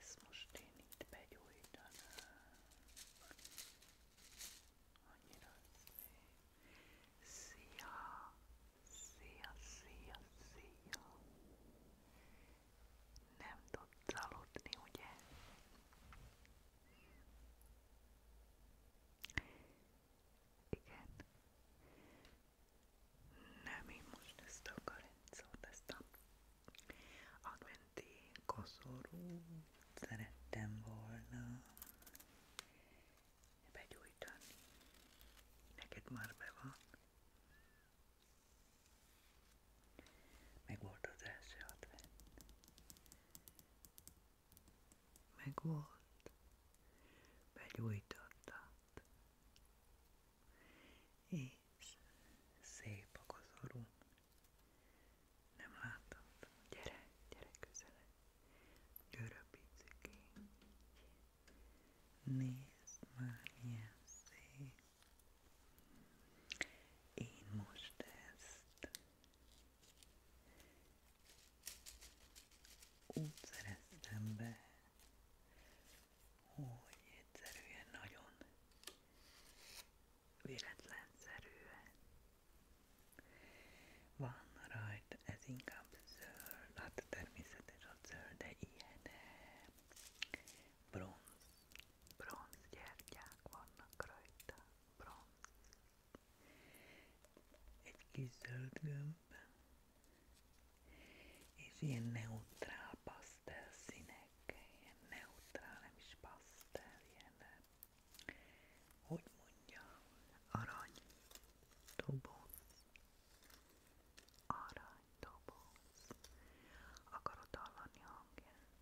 Ezt most én itt begyújtanám. Annyira szép. Szia! Szia, szia, szia! Nem tudsz aludni, ugye? Igen. Nem, én most ezt a karencot, ezt a agmenti koszorút szerettem volna begyújtani. Neked már be van. Meg volt az első advent. Meg volt. Begyújtottad és szép a kozorom. Nem látom. Gyere, gyere közelebb. Gyere picikém. Nézd már, milyen szép. Én most ezt úgy szereztem be, hogy egyszerűen nagyon véletlenszerűen van rajta, ez inkább zöld, hát természetesen a zöld, de ilyen eh, bronz, bronz gyertyák vannak rajta, bronz. Egy kis zöld gömb, és ilyen neutrál pasztel színek, ilyen neutrál, nem is pasztel, ilyen, hogy mondja, arany doboz, arany doboz, akarod hallani hangját?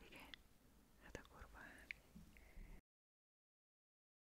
Igen? Hát akkor várj.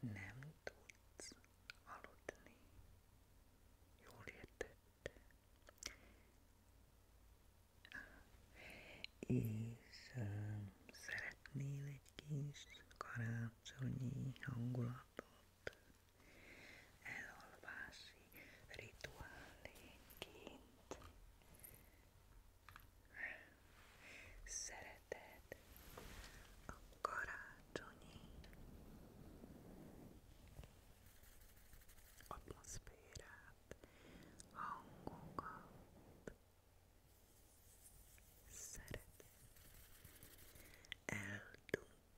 nem tudsz aludni. Jól értette. És uh, szeretnél egy kis karácsonyi hangulatot? elalvási rituálénként. Szereted a karácsonyi atmoszférát, hangokat, szereted eldugni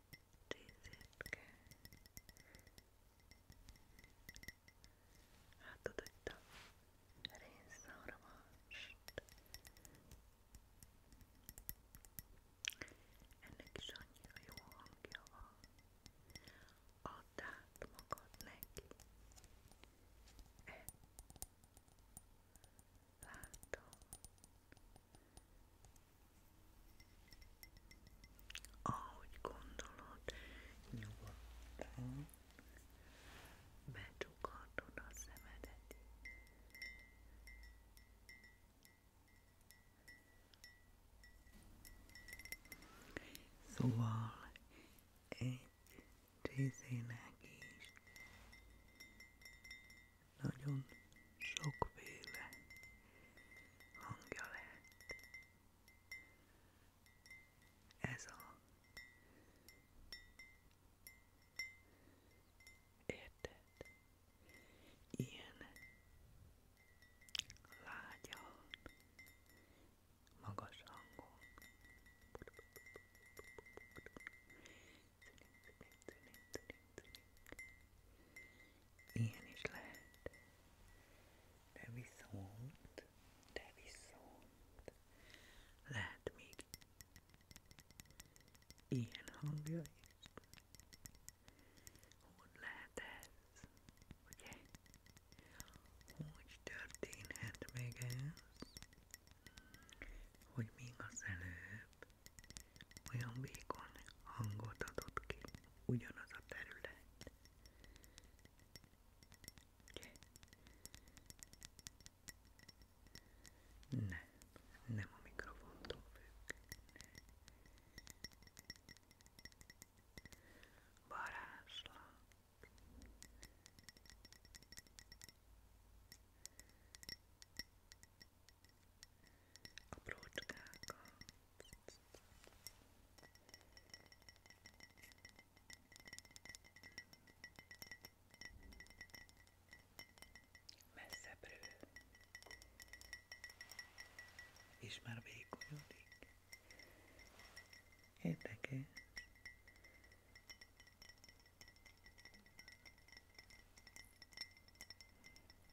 részétke. Látod, hogy te rénszarvast. Ennek is annyira jó hangja van. Add át magad neki. E. Látom, ahogy gondolod, nyugodtan becsukhatod a szemedet. Szóval egy részének is nagyon sokféle hangja lehet. Ez a érted? Ilyen lágyan, magas hangon Ian is lad. There is sound. There is sound. Lad meet. Ian hungry. Hon lätes. Okej. Okay. Hogy történhet meg ez? Hogy még az előbb Olyan vékony hangot adott ki ugyanaz a terület. Ugye? Nem, nem a mikrofontól függ. Varázslat. aprócskákat. Messzebbről. És már vékonyodik. Érdekes.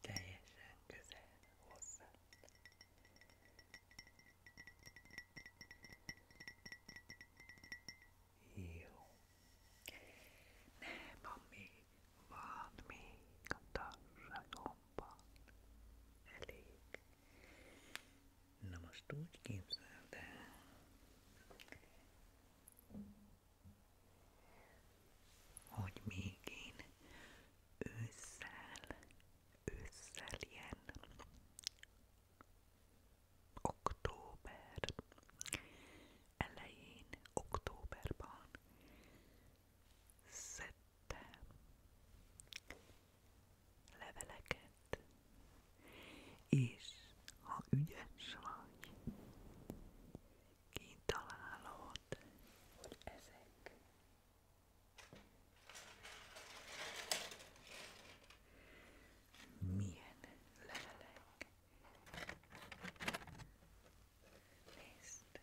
teljesen közel hozzá. Jó. Nem, ami van még a társadalomban elég. Na most úgy képzeld el, hogy még én ősszel, ősszel ilyen október elején, októberban szedtem leveleket, és ha ügyes vagy, kitalálod, hogy ezek milyen levelek. Nézd!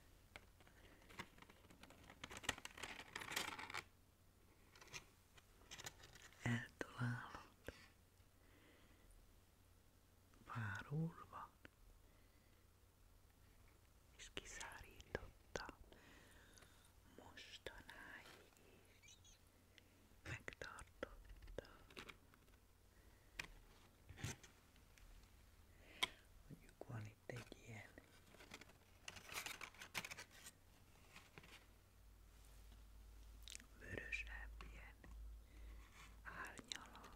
Eltalálod. Pár úr van és kiszárította mostanáig is megtartotta mondjuk van itt egy ilyen vörösebb ilyen árnyala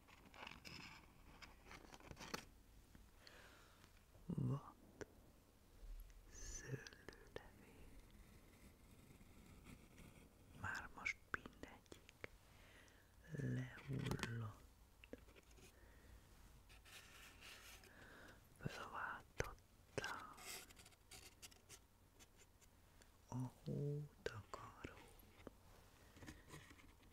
Vad szőlőlevél. Már most mindegyik lehullott. Fölváltottam a hótakaró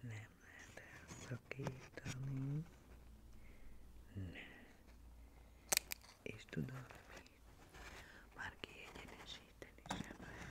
nem lehet elszakítani. Nem. És tudom, hogy már kiegyenesíteni sem lehet.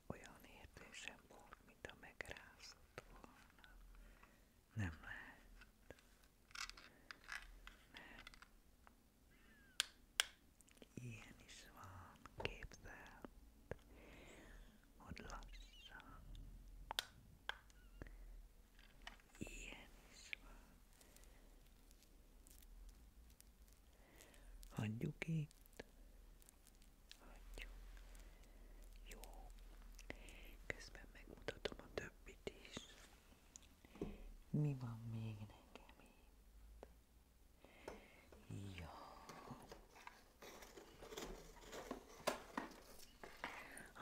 olyan érzésem volt, mint a megrázott volna. Nem lehet. Nem. Ilyen is van, képzeld, hogy lassan. Ilyen is van. Hagyjuk itt, Hagyjuk. megmutatom a többit is. Mi van még nekem itt? Ja.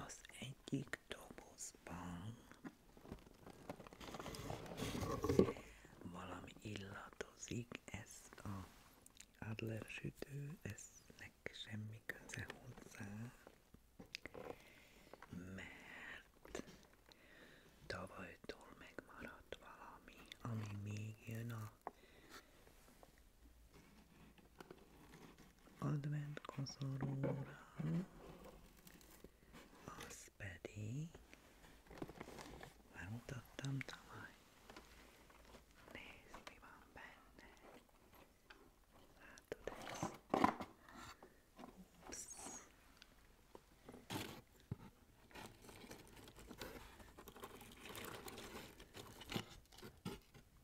Az egyik dobozban valami illatozik, ezt a Adler-sütőnek semmi köze hozzá, mert tavalytól megmaradt valami, ami még jön a advent koszorúra, az pedig már mutattam tavaly. Nézd, mi van benne. Látod ezt? Ups.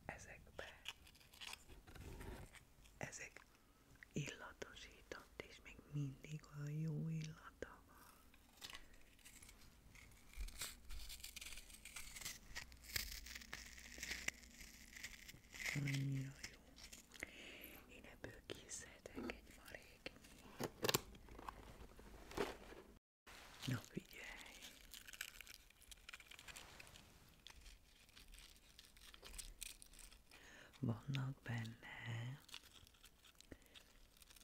Ezekbe ezek illatosított, és még mindig a jó illata van. Annyira jó. Én ebből készítek egy maréknyit. Na figyelj! Vannak benne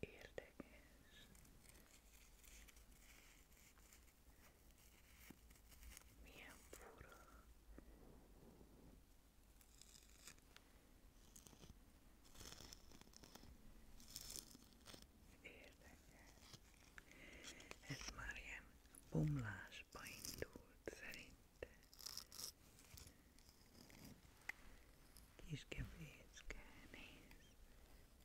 érdekes. Milyen fura. Érdekes. Ez már ilyen bomlásba indult szerintem. Kis gefécke, nézd.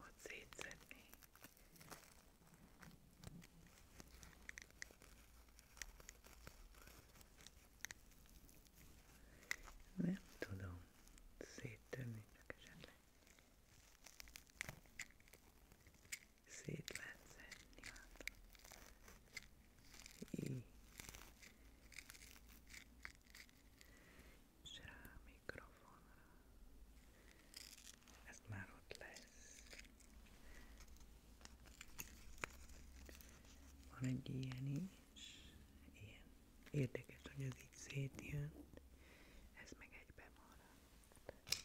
ott szétszedni. Nem tudom széttörni, csak esetleg szét lehet szedni. Hát. Így. Ez már ott lesz. Van egy ilyen is, ilyen. Érdekes, hogy ez így szétjön, ez meg egybe maradt.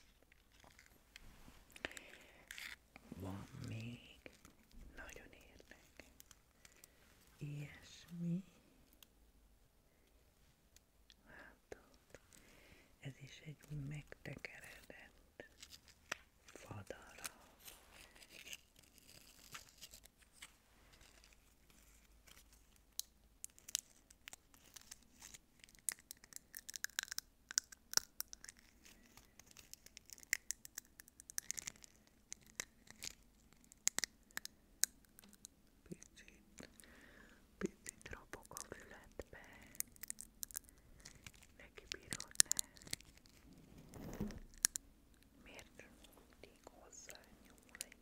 Van még, nagyon érdekes. ilyesmi. Látod? Ez egy megtekeredett fadarab. Picit, picit robog a fületbe. Neki bírod ne. Miért mindig hozzá nyúl egy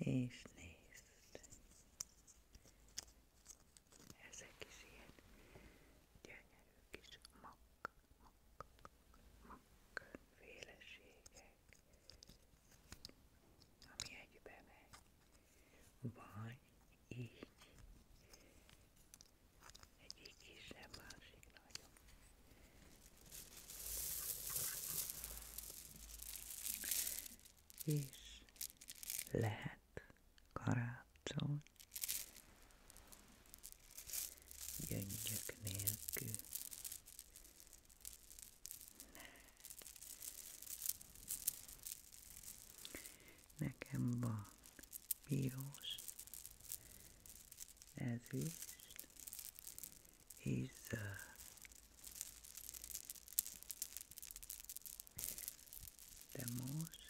És nézd, ezek is ilyen gyönyörű kis mak, mak, mak féleségek, ami egybe megy, vagy így és lehet karácsony gyöngyök nélkül. Nekem van piros, As he, He's uh, the most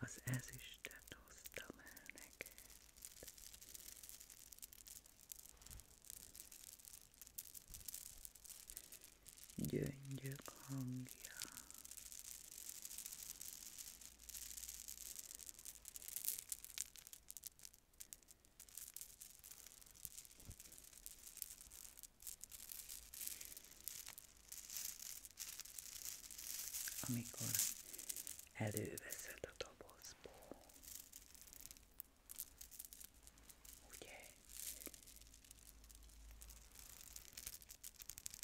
az ezüstet hoztam el neked. Gyöngyök hangja. Amikor előveszed a dobozból, ugye?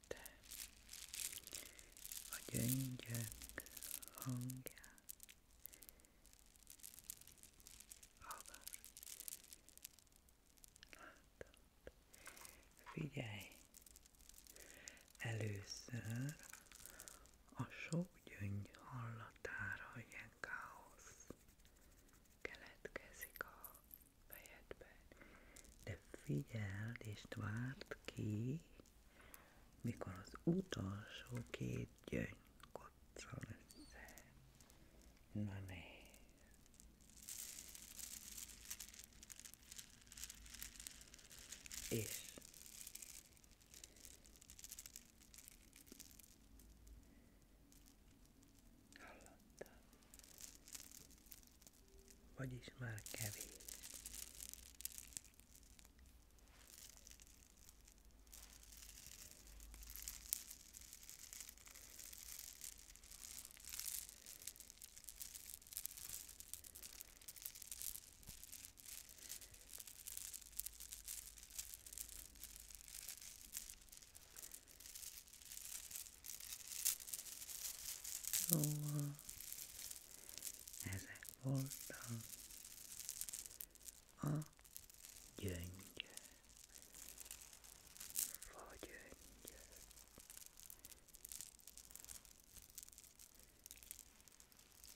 figyelte a gyöngyök hangját, hallgass, látod, figyelj, először a sok gyöngy hallatára ilyen káosz keletkezik a fejedben. De figyeld és várt ki, mikor az utolsó két gyöngy koccan össze. Na nézd. És Hallottam vagyis már kevés. Szóval ezek voltak a gyöngy, fagyöngy.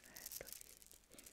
Lehet, hogy így.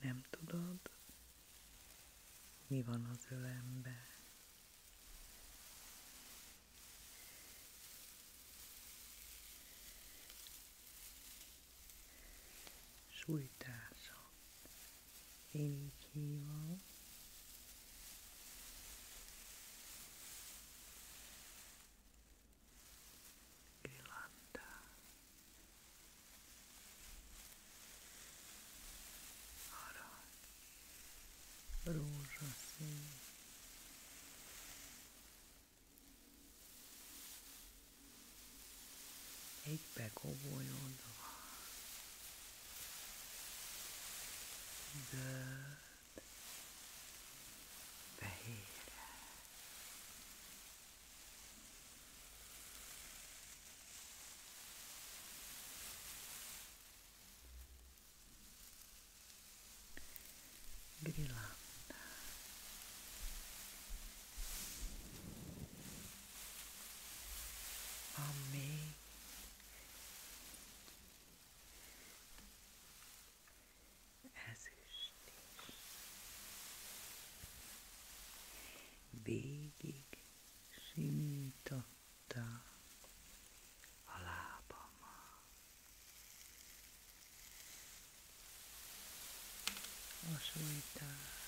Nem tudod, mi van az ölembe. Sújtása. Én így hívom arany, rózsaszín, egybe kobolyodva, zöld, fehére, Grilanda. Amém. Ezüst is. Végig simította a lábamat. A sújtás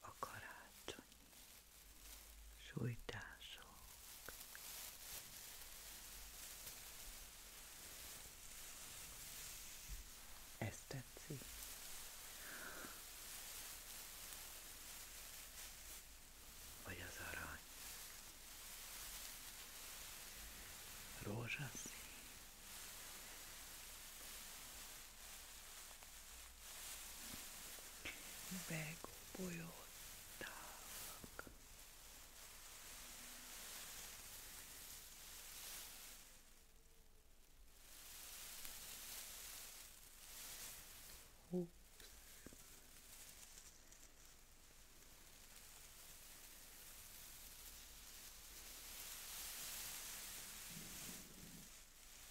a karácsonyi sújtások ez tetszik. Vagy az arany. Rózsaszín. Begobolyodtak. Oops.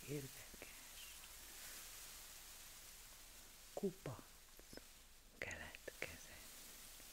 Érdekes kupac keletkezett.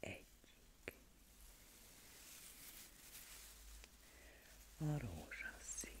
Egyik a rózsaszín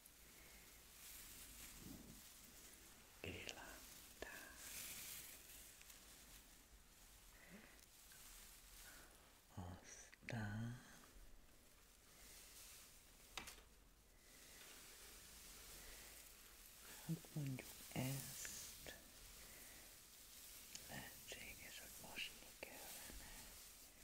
Élantál. Aztán hát mondjuk ezt lehetséges, hogy mosni kellene.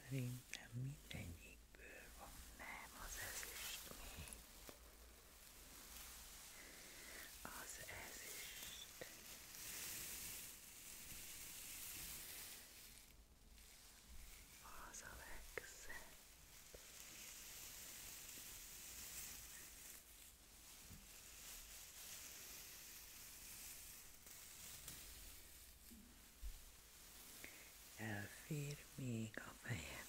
Szerintem mindegyikből van. Nem, az ezüstmény. Az ezüst. Az a legszebb. Elfér még a fejem.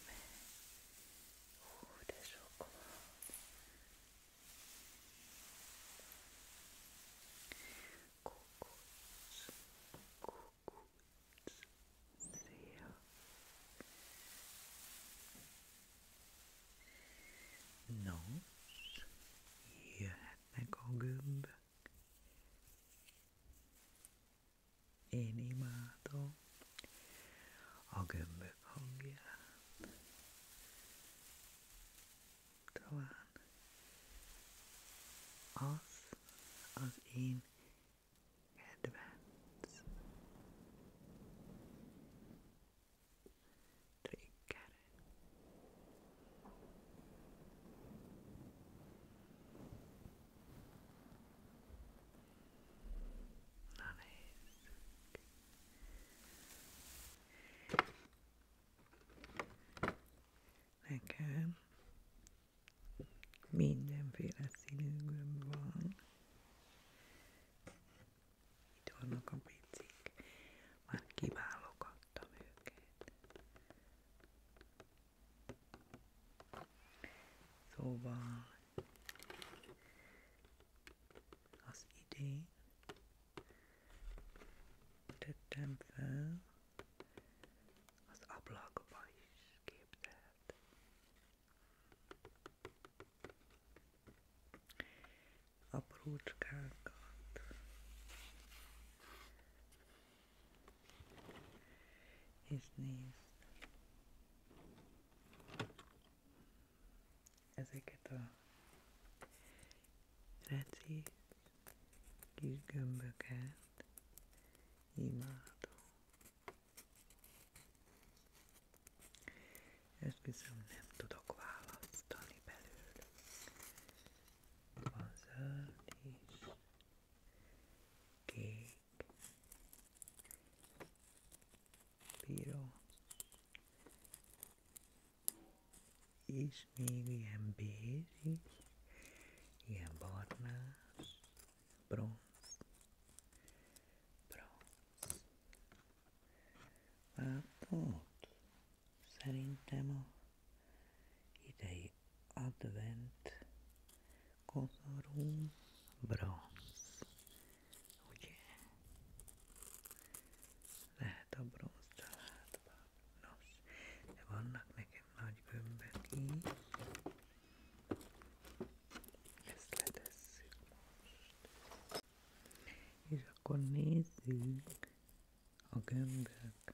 Hú, de sok van. Nos, jöhetnek a gömbök. Én imádom a gömbök hangját. Talán az az én kedvenc triggerem. Na nézzük. Nekem mindenféle színű gömb van. Itt vannak a picik. Már kiválogattam őket. Szóval az idén tettem fel az ablakba is képzelt. Aprócskákat és nézd, ezeket a reci kis gömböket imádom. Esküszöm, nem tudok választani belőlük. Van zöld is, kék, Bíró. És még ilyen bézs is, ilyen barnás, bronz, bronz. Látod? Szerintem a i dig advent konorům bronz. Ugye? Lehet a bronz családban. Nos, de vannak nekem nagy gömbök így. Ezt letesszük most. És akkor nézzük a gömbök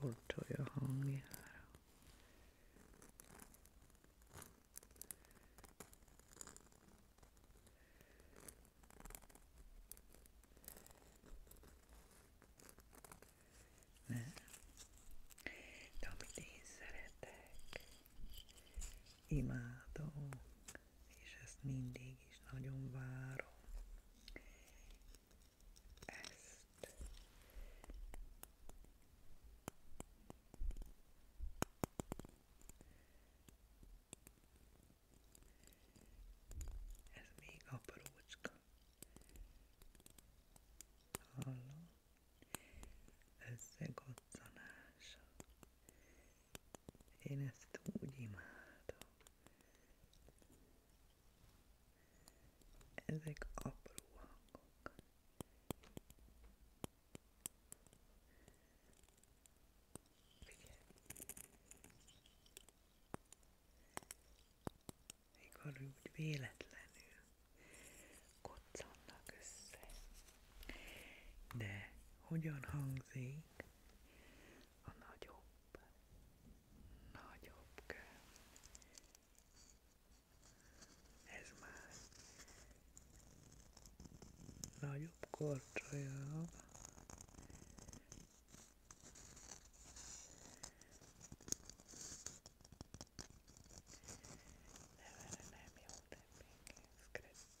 Kordolja hangjára. Nem. De amit én imádom, és ezt mindig is nagyon várom. Ezt ez még aprócska. Hallom? Összegoccanása. Én ezt úgy imádom. Ezek apró hangok. Figyelj! Mikor úgy véletlenül koccannak össze. De hogyan hangzik a nagyobb, nagyobb kő. Ez már nagyobb korcsolya. Nem, erre nem jó, de még scratch.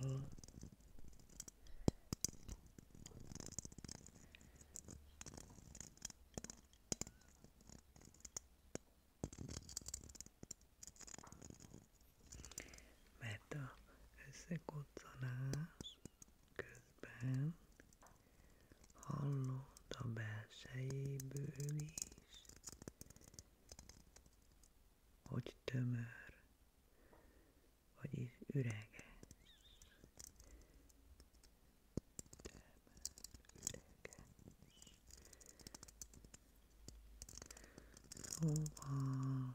Hol? Mert a összekocanás közben Hallod a belsejéből is, hogy tömör, vagyis üreges. Tömör, üreges. Szóval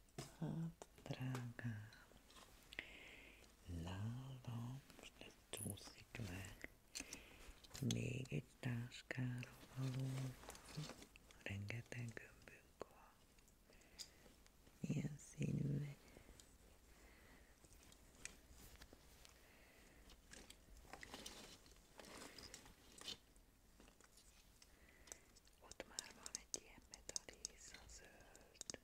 Hát, drágám, lálam, most ez csúszik meg. Még egy táskára való. Rengeteg gömbünk van. Ilyen színű. Ott már van egy ilyen metaliz, a zöld.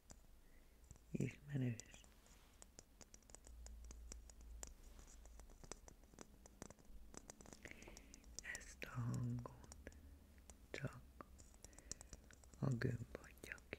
ismerős. Ezt a hangot csak a gömb adja ki.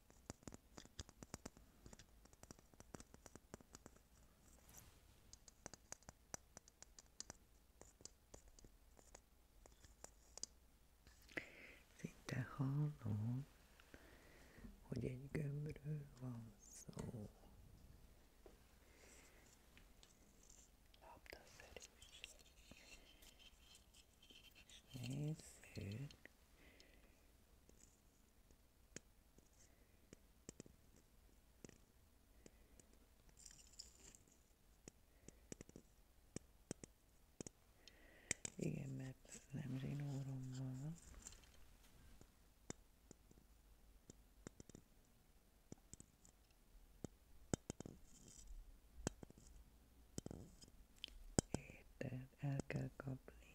Szinte hallom, hogy egy gömbről van szó. Labdaszerűség. És nézzük, igen, mert nem zsinórom van. Érted? El kell kapni.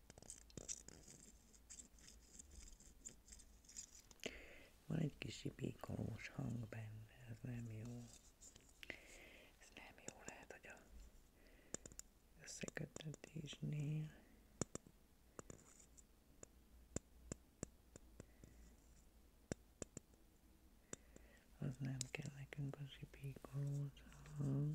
Van egy kis ipékolós hang benne, ez nem jó. Ez nem jó, lehet, hogy a összekötetésnél. Az nem kell nekünk az ipékolós hang.